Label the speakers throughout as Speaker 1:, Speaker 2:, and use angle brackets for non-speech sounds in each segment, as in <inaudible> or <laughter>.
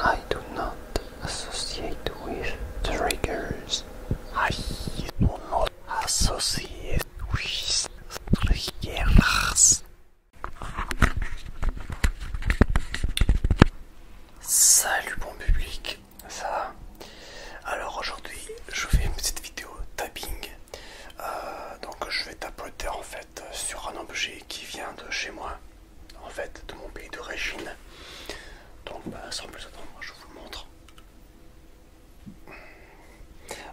Speaker 1: I do not associate with triggers. I do not associate with triggers. Salut bon public, ça va Alors aujourd'hui je fais une petite vidéo tapping. Euh, donc je vais tapoter en fait sur un objet qui vient de chez moi en fait de mon pays d'origine. Donc bah, sans plus attendre, je vous le montre.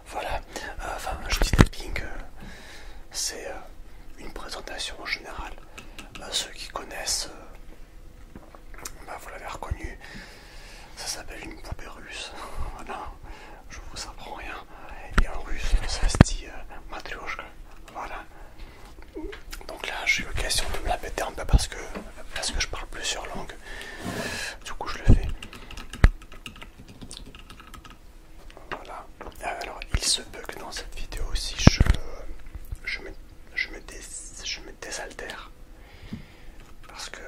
Speaker 1: Voilà, enfin je dis tapping, euh, c'est euh, une présentation en général. Euh, ceux qui connaissent, bah, vous l'avez reconnu, ça s'appelle une poupée russe. <laughs> voilà, je vous apprends rien. Et en russe, ça se dit Voilà, donc là j'ai l'occasion de me la péter un peu parce que, parce que je parle plusieurs langues. Du coup je le fais. Voilà. Euh, alors il se peut que dans cette vidéo aussi je, je, me, je, je me désaltère. Parce que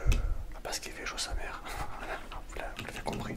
Speaker 1: ah, parce qu'il fait chaud sa mère. <laughs> Voilà, vous l'avez compris.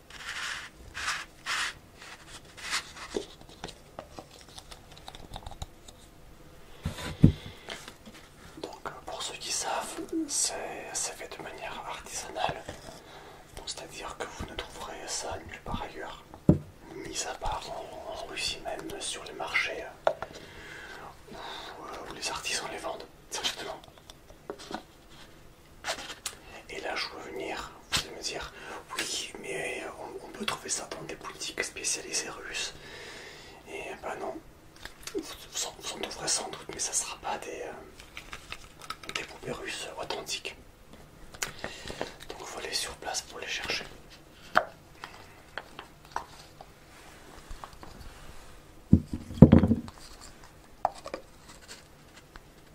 Speaker 1: Donc euh, pour ceux qui savent, c'est fait de manière artisanale, c'est-à-dire que vous ne trouverez ça nulle part ailleurs, mis à part en, Russie même sur les marchés euh, euh, où, les artisans les vendent directement. Et là, je veux venir, vous me dire, oui, mais on, peut trouver ça dans des boutiques spécialisées russes. Et bah non, vous, en trouverez sans doute, mais ça sera pas des, euh, des poupées russes authentiques. Donc, il faut aller sur place pour les chercher.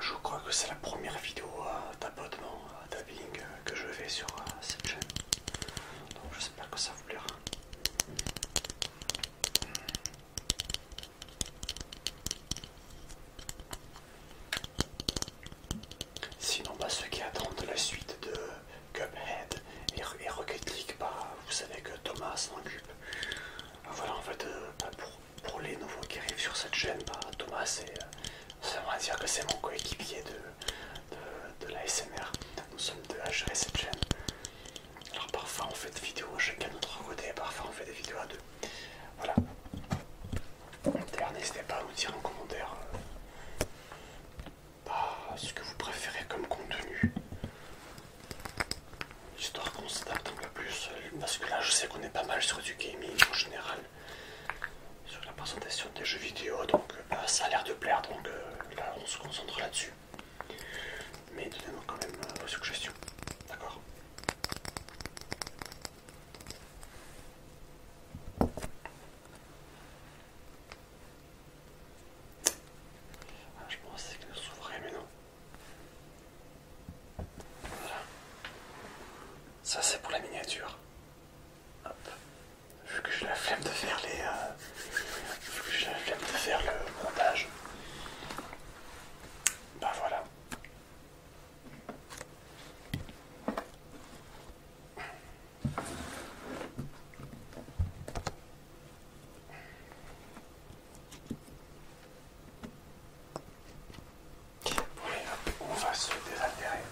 Speaker 1: Je crois que c'est la première vidéo euh, d'abonnement, euh, euh, que je fais sur cette chaîne. Donc pas que ça vous plaira. Sinon, bah, ceux qui attendent la suite de Cuphead et, Rocket League, bah, vous savez que Thomas s'en occupe. Voilà, en fait, pas bah, pour pour les nouveaux qui arrivent sur cette chaîne, bah, Thomas Thomas, euh, ça va dire que c'est mon coéquipier de, de, la SMR. Nous sommes deux à gérer cette chaîne. Alors parfois on fait des vidéos chacun de notre côté, parfois on fait des vidéos à deux. Voilà. n'hésitez pas à nous dire en commentaire euh, bah, ce que vous préférez comme contenu histoire qu'on s'adapte un peu plus, euh, parce que là je sais qu'on est pas mal sur du gaming en général, sur la présentation des jeux vidéo, donc euh, bah, ça a l'air de plaire, donc euh, là on se concentre là-dessus. Mais donnez-moi quand même vos suggestions, d'accord ah, Je pense que ça s'ouvrait, mais non. Ça c'est pour la miniature. Hop. Vu que j'ai la flemme de faire les. Euh, vu que j'ai la flemme de faire le montage. bah voilà. Oui, on va se désaltérer.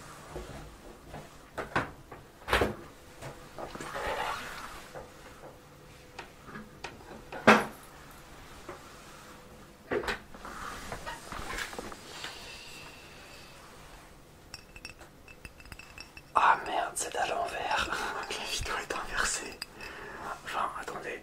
Speaker 1: Ah merde, c'est à l'envers. <laughs> La vidéo est inversée. Enfin, attendez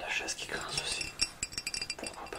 Speaker 1: La chaise qui grince aussi, pourquoi pas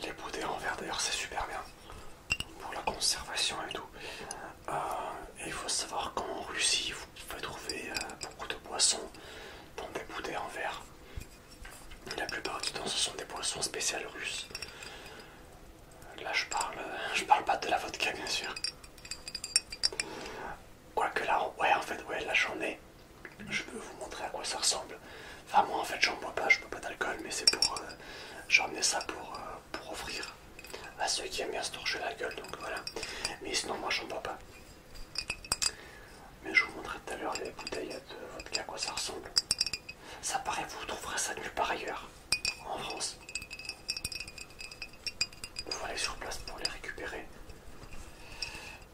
Speaker 1: Les boudées en verre d'ailleurs c'est super bien pour la conservation et tout. Euh, et il faut savoir qu'en Russie vous pouvez trouver euh, beaucoup de boissons dans des boudées en verre. La plupart du temps ce sont des boissons spéciales russes. Là je parle, euh, je parle pas de la vodka bien sûr. Quoique là, ouais en fait ouais là j'en ai. Je peux vous montrer à quoi ça ressemble. Enfin, moi en fait, j'en bois pas, je bois pas d'alcool, mais c'est pour. Euh, J'en ça pour, euh, pour offrir à ceux qui aiment bien se torcher la gueule, donc voilà. Mais sinon, moi j'en bois pas. Mais je vous montrerai tout à l'heure les bouteilles de vodka, à quoi ça ressemble. Ça paraît, vous trouverez ça nulle part ailleurs, en France. Vous faut aller sur place pour les récupérer.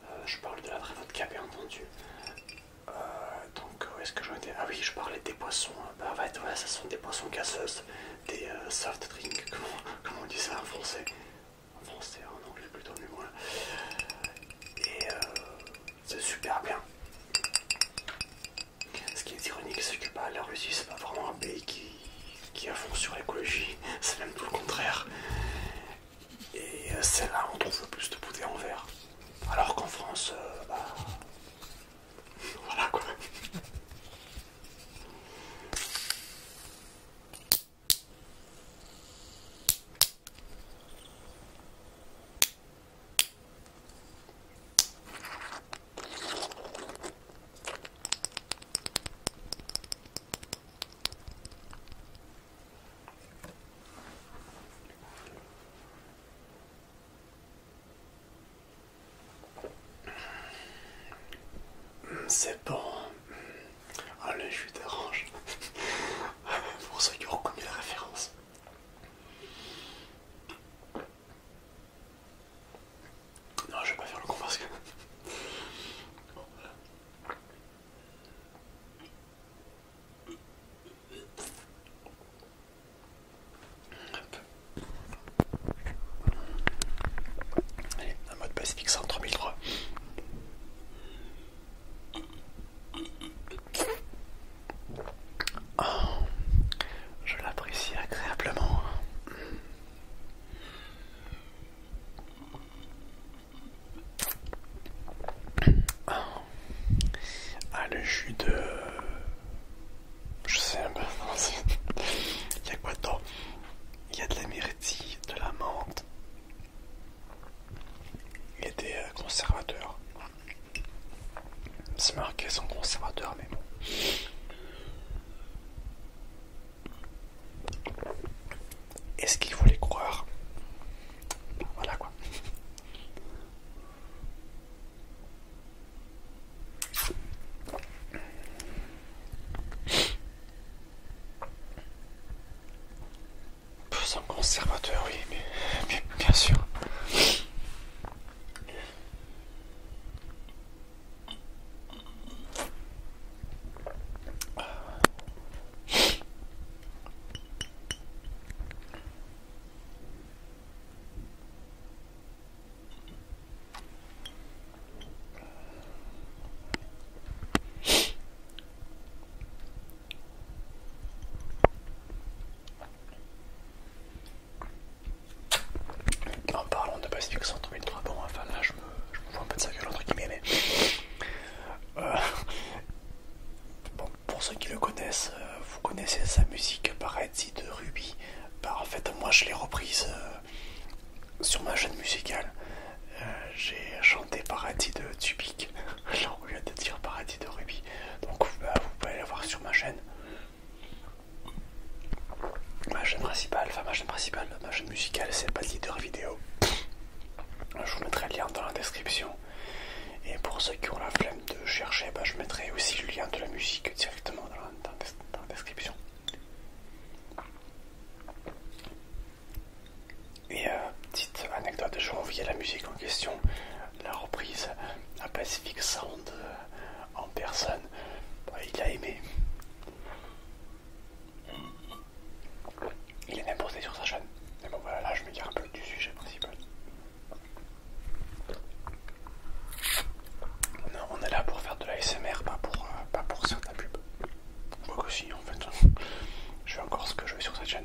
Speaker 1: Euh, je parle de la vraie vodka, bien entendu. Euh, donc est-ce que j'en étais Ah oui, je parlais des poissons, ah Bah ouais, ça sont des poissons casseuses, des euh, soft drink, <laughs> comment, on dit ça en français En français, en anglais plutôt, mais Et euh, c'est super bien. Ce qui est ironique, c'est que bah, la Russie, c'est pas vraiment un pays qui, avance sur l'écologie, <laughs> c'est même tout le contraire. Et c'est là où on trouve le plus de bouteilles en verre. Alors qu'en France, euh, bah, voilà quoi. C'est bon. Allez, ah, je dérange. <laughs> Pour ceux qui ont reconnu la référence. Non, je vais pas faire le con parce que. Allez, un mode Pacifique Centre 1003. Oh, je l'apprécie agréablement. Ah, le jus de. Je sais pas. <laughs> Il y a quoi dedans Il y a de la de la menthe a des euh, conservateurs. C'est marqué sans conservateur, mais bon. Est-ce qu'il faut les croire Voilà quoi. C'est conservateur, oui, mais bien sûr. En parlant de Pacific Centre 1003, bon, enfin là je me, vois un peu de ça que l'autre qui m'aimait pour ceux qui le connaissent, euh, vous connaissez sa musique Paradis de Ruby. Bah, en fait, moi je l'ai reprise euh, sur ma chaîne musicale. Euh, j'ai chanté Paradis de Tubik, au <laughs> lieu de dire Paradis de Ruby. Donc vous bah, pouvez la voir sur ma chaîne. Ma chaîne principale, enfin ma chaîne principale, ma chaîne musicale, c'est pas de leader vidéo. Je vous mettrai le lien dans la description. Et pour ceux qui ont la flemme de chercher, bah, je mettrai aussi le lien de la musique directement dans la, description. Et euh, petite anecdote, j'ai envoyé la musique en question, la reprise à Pacific Sound euh, en personne. il a aimé. Il est même sur sa chaîne. Mais bon voilà, là je me garde un peu du sujet principal. Non, on est là pour faire de l'ASMR, pas pour, euh, pas pour faire de la pub. moi aussi en fait, je fais encore ce que je veux sur cette chaîne.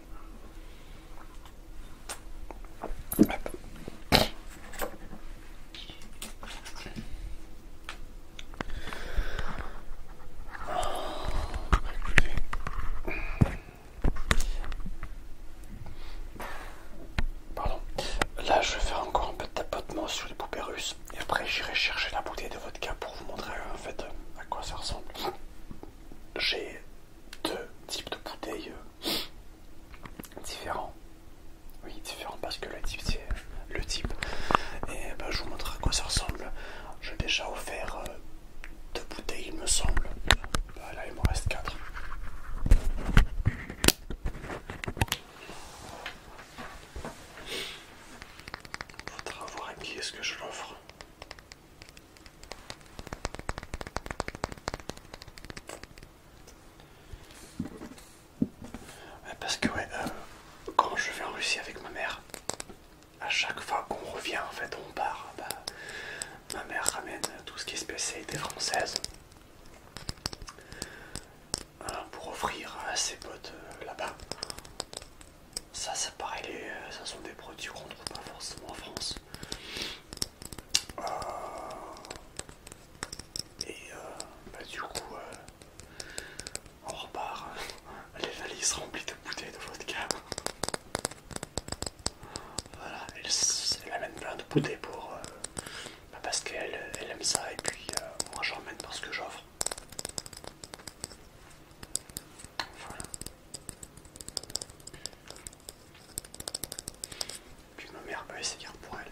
Speaker 1: Ah, Pardon. Là, je vais faire encore un peu de tapotement sur les poupées russes. Et après, j'irai chercher la bouteille de vodka pour vous montrer en fait à quoi ça ressemble. J'ai deux types de bouteilles euh, différents. Oui, différents parce que le type, c'est le type. Et ben, je vous montre à quoi ça ressemble. J'ai déjà offert euh, deux bouteilles, il me semble. Bah là il m'en reste 4. Faudra voir à qui est-ce que je l'offre. Euh, parce que ouais, euh, quand je vais en Russie avec ma mère, à chaque fois qu'on revient en fait on part, bah, Ma mère ramène tout ce qui est spécialité française pour offrir à ses potes euh, là-bas. Ça, ça pareil, euh, ça sont des produits qu'on trouve pas forcément en France. Euh, et bah, du coup, on repart <laughs> les valises remplies de bouteilles de vodka. Voilà, elle, amène plein de poudées pour. Euh, bah, parce qu'elle aime ça, et puis euh, moi moi j'emmène parce que j'offre. Voilà. Puis ma mère peut essayer pour elle.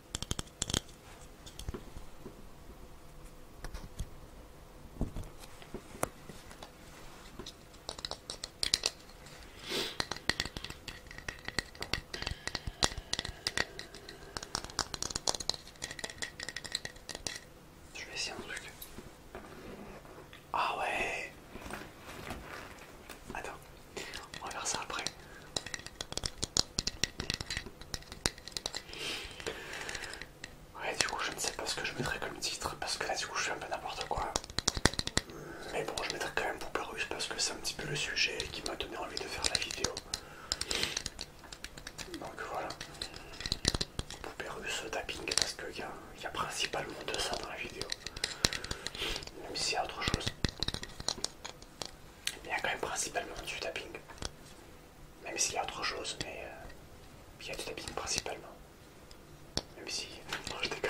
Speaker 1: Je vais essayer un truc. Ah ouais Attends. On va faire ça après. Ouais, du coup, je ne sais pas ce que je mettrai comme titre parce que là, du coup, je fais un peu n'importe quoi. Mais bon, je mettrai quand même Poupée Russe parce que c'est un petit peu le sujet qui m'a donné envie de faire la vidéo. Donc voilà. Poupée Russe tapping parce qu'il y, y a principalement de ça dans la vidéo. Même s'il y a autre chose. Il y a quand même principalement du tapping. Même s'il y a autre chose, mais euh, il y a du tapping principalement. Même si... Non, je déconne.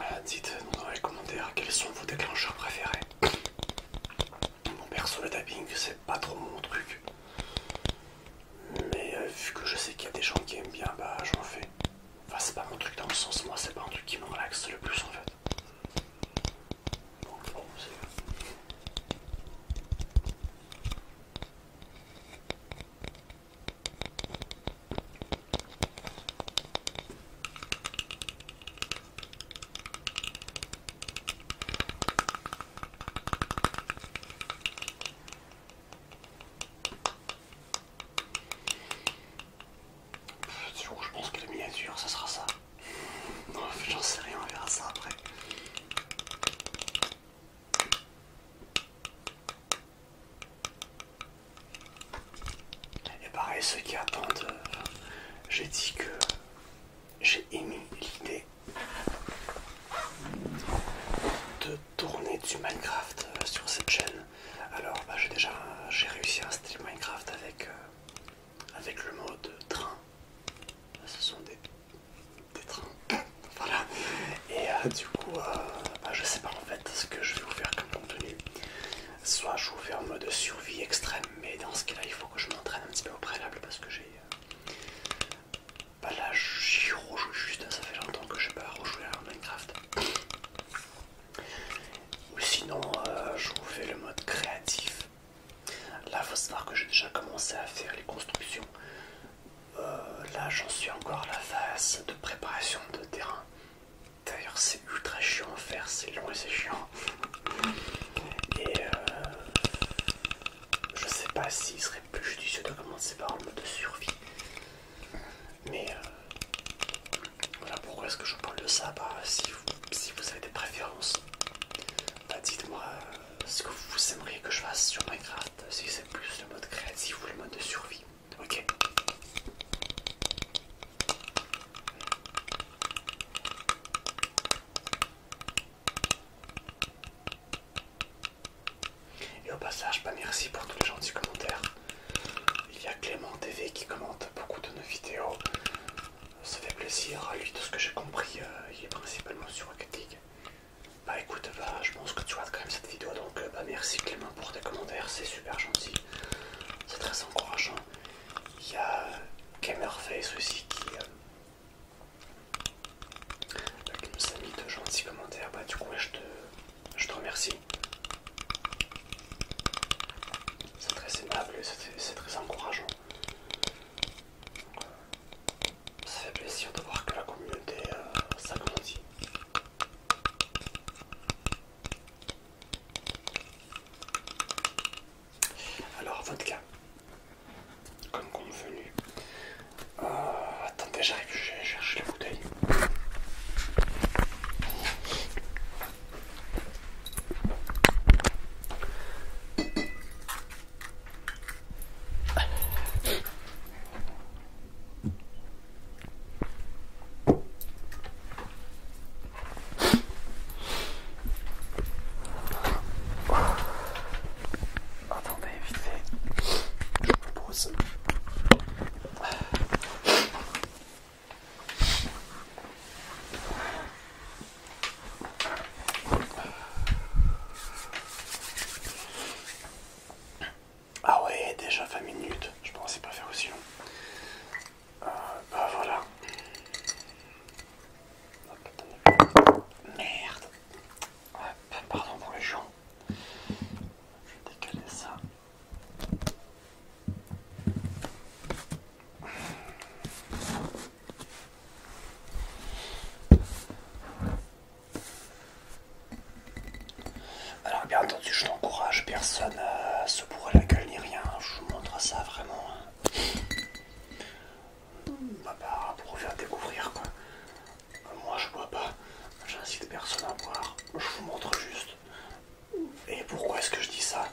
Speaker 1: Euh, Dites-nous dans les commentaires quels sont vos déclencheurs préférés. Mon perso le tapping c'est pas trop mon truc. Mais euh, vu que je sais qu'il y a des gens qui aiment bien, bah j'en fais. Enfin c'est pas mon truc dans le sens, moi c'est pas un truc qui me relaxe le plus en fait je pense que la miniature, ça sera ça. <laughs> Non, j'en sais rien, on verra ça après. Et pareil, ceux qui attendent, euh, j'ai dit que j'ai émis l'idée de tourner du Minecraft euh, sur cette chaîne. Alors, bah, j'ai déjà j'ai réussi à installer Minecraft avec, euh, avec le mode train. ce sont des, trains. <coughs> voilà. Et du coup, ne bah, je sais pas en fait ce que je vais vous faire comme contenu. Soit je vous fais en mode survie extrême, mais dans ce cas-là, il faut que je m'entraîne un petit peu au préalable parce que j'ai. Euh, bah là, j'y rejoue juste, ça fait longtemps que je n'ai pas rejouer à Minecraft. Ou sinon, euh, je vous fais le mode créatif. Là, faut savoir que j'ai déjà commencé à faire les constructions. Euh, là, j'en suis encore à la phase de préparation de terrain. D'ailleurs, c'est ultra chiant à faire, c'est long et c'est chiant. Et euh, je sais pas s'il serait plus judicieux de commencer par le mode de survie. Mais euh, voilà pourquoi est-ce que je parle de ça. Bah, si, vous, avez des préférences, bah, dites-moi euh, ce que vous aimeriez que je fasse sur Minecraft, si c'est plus le mode créatif ou le mode de survie. Ok. Et au passage, bah merci pour tous les gentils commentaires. Il y a Clément TV qui commente beaucoup de nos vidéos. Ça fait plaisir, à lui de ce que j'ai compris, euh, il est principalement sur Rocket Bah écoute, bah, je pense que tu regardes quand même cette vidéo, donc euh, bah, merci Clément pour tes commentaires, c'est super gentil, c'est très encourageant. Il y a Gamerface aussi qui, euh, nous a mis de gentils commentaires. Bah, du coup, je, te, remercie. C'est très aimable, c'est très encourageant. Ça fait plaisir de voir que la communauté euh, s'agrandit. Alors, votre cas, comme convenu. Euh, attendez, j'arrive, je vais la bouteille. Attendez, évitez, Je me pose. Ah ouais, déjà 20 minutes. Je pensais pas faire aussi long. Euh, bah voilà. Merde. Ah, pardon pour les gens. Je vais décaler ça. Alors bien entendu, je n'encourage personne à euh, se bourrer la gueule ni rien. Je vous montre ça vraiment. Hein. Bah, bah, pour faire découvrir quoi. Euh, moi je bois pas, j'incite personne à boire, je vous montre juste. Et pourquoi est-ce que je dis ça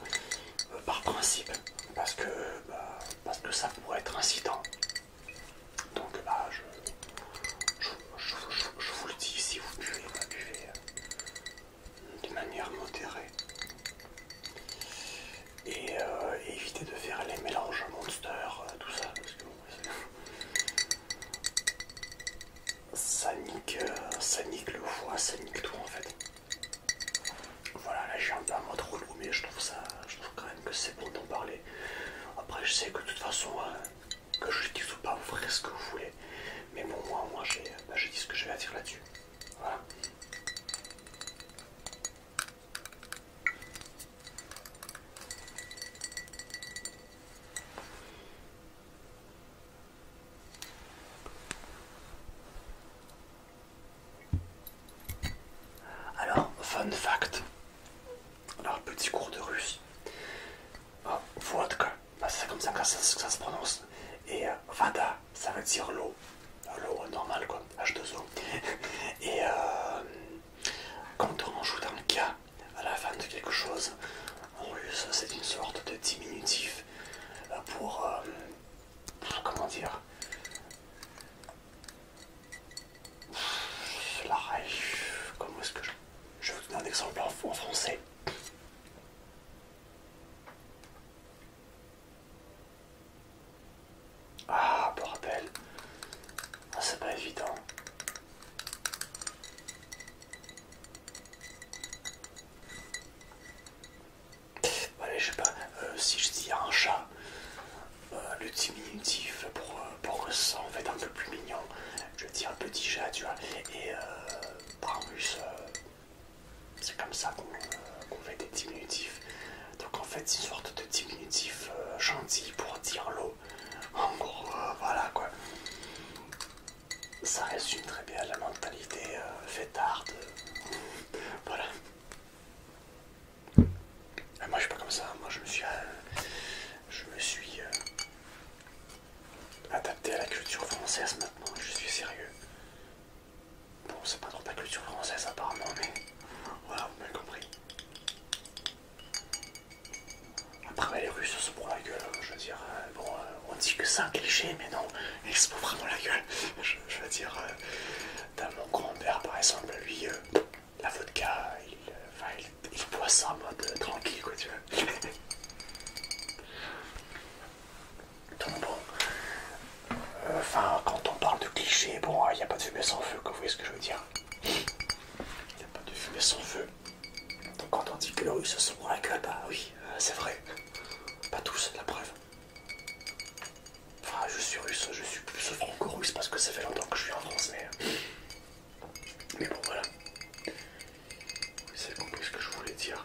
Speaker 1: euh, Par principe, parce que, bah, parce que ça pourrait être incitant. Donc bah, je, je, vous le dis, si vous buvez, buvez, euh, de manière modérée et, euh, éviter de faire les mélanges monster, euh, tout ça, parce que ça nique, euh, ça nique le foie, ça nique tout en fait. Voilà, là j'ai un peu un mode relou, mais je trouve ça, je trouve quand même que c'est bon d'en parler. Après, je sais que de toute façon, hein, que je dis ou pas, vous ferez ce que vous voulez, mais bon, moi, moi j'ai bah, dit ce que je vais à dire là-dessus. Voilà. Alors, fun fact, alors petit cours de russe, oh, vodka, bah, c'est comme ça ça, que ça se prononce, et euh, vada, ça veut dire l'eau, l'eau normale quoi, H2O. <laughs> Et euh, quand on joue dans le cas, à la fin de quelque chose, en russe, c'est une sorte de diminutif euh, pour, euh, comment dire, la Comment est-ce que je... Je vais vous donner un exemple en français. Ah pour rappel, ah, c'est pas évident. je sais pas, euh, si je dis un chat, euh, le diminutif pour, que ça en fait un peu plus mignon, je dis un petit chat, tu vois, et euh, plus c'est comme ça qu'on fait des diminutifs. Donc en fait, c'est une sorte de diminutif euh, gentil pour dire l'eau. En gros, euh, voilà quoi. Ça résume très bien la mentalité euh, fêtarde. <laughs> voilà. Ah, moi, je suis pas comme ça. Moi, je me suis, je suis adapté à la culture française maintenant. Je suis sérieux. Bon, c'est pas dans ta culture française apparemment, mais voilà, vous m'avez compris. Après, les Russes se prend la gueule, je veux dire, euh, bon, euh, on dit que ça, un cliché, mais non, ils se prennent vraiment la gueule. Je, veux dire, dans euh, mon grand-père par exemple, lui, la vodka, il, boit ça en mode tranquille, quoi, tu vois. <laughs> bon euh, Enfin, quand on parle de clichés, bon, il n'y a pas de fumée sans feu, vous voyez ce que je veux dire. Il n'y a pas de fumée sans feu. Donc quand on dit que les Russes se sont la bah gueule, oui, euh, c'est vrai. Pas tous, la preuve. Enfin, je suis russe, je suis plus que russe parce que ça fait longtemps que je suis en France, mais... Mais bon, voilà. Vous avez compris ce que je voulais dire.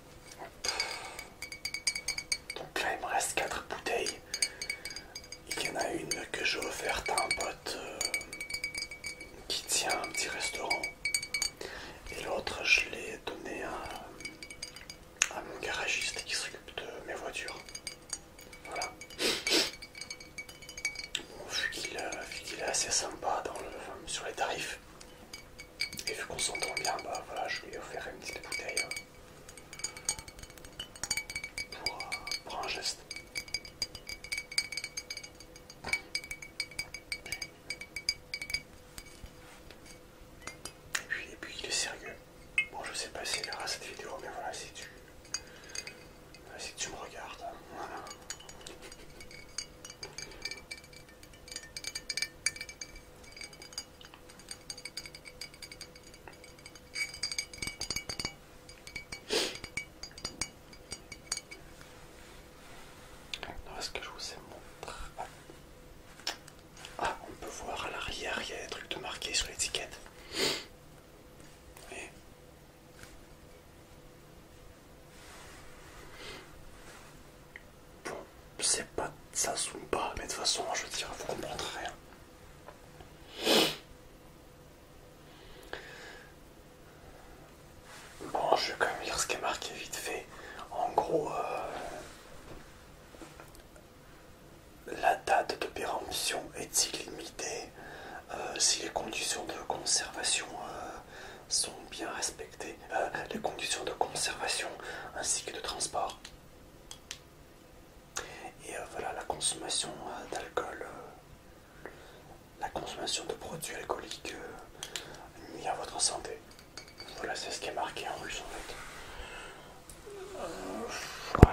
Speaker 1: Donc là, il me reste 4 bouteilles. Il y en a une que j'ai offerte à un pote euh, qui tient un petit restaurant. Et l'autre, je l'ai donnée à, mon garagiste qui s'occupe de mes voitures. Voilà. Bon, vu qu'il euh, est assez sympa sur les tarifs, et vu qu'on s'entend bien, bah voilà, je lui ai offert une petite bouteille hein. euh, pour, un geste. Et puis, il est sérieux. Bon je sais pas s'il verra cette vidéo mais voilà si tu si tu me regardes, hein est-ce que je vous ai montré ah. on peut voir à l'arrière, il y a des trucs de marqué sur l'étiquette. Bon, c'est pas ça pas. mais de toute façon, je veux dire, vous comprendrez rien. Bon, je vais quand même lire ce qui est marqué vite fait. En gros, euh, la date de péremption est illimitée euh, si les conditions de conservation euh, sont bien respectées. Euh, les conditions de conservation ainsi que de transport. Et euh, voilà, la consommation euh, d'alcool, la consommation de produits alcooliques mis à votre santé. Voilà, c'est ce qui est marqué en russe en fait.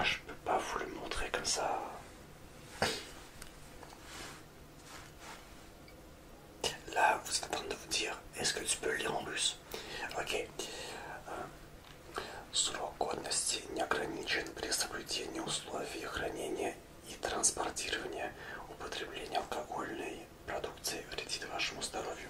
Speaker 1: je peux pas vous le montrer comme ça. Là, vous êtes en train de vous dire, est-ce que tu peux lire en russe Ok. Срок годности не ограничен при соблюдении условий хранения и транспортирования. Употребление алкогольной продукции вредит вашему здоровью.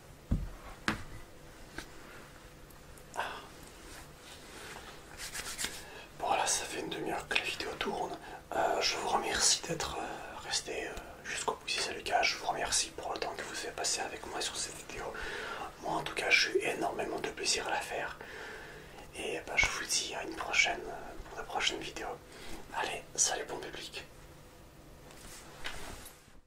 Speaker 1: Voilà, Bon ça fait une demi-heure que la vidéo tourne. Euh, je vous remercie d'être euh, resté euh, jusqu'au bout si c'est le cas. Je vous remercie pour le temps que vous avez passé avec moi sur cette vidéo. Moi en tout cas j'ai eu énormément de plaisir à la faire. Et bah, je vous dis à une prochaine pour la prochaine vidéo. Allez, salut bon public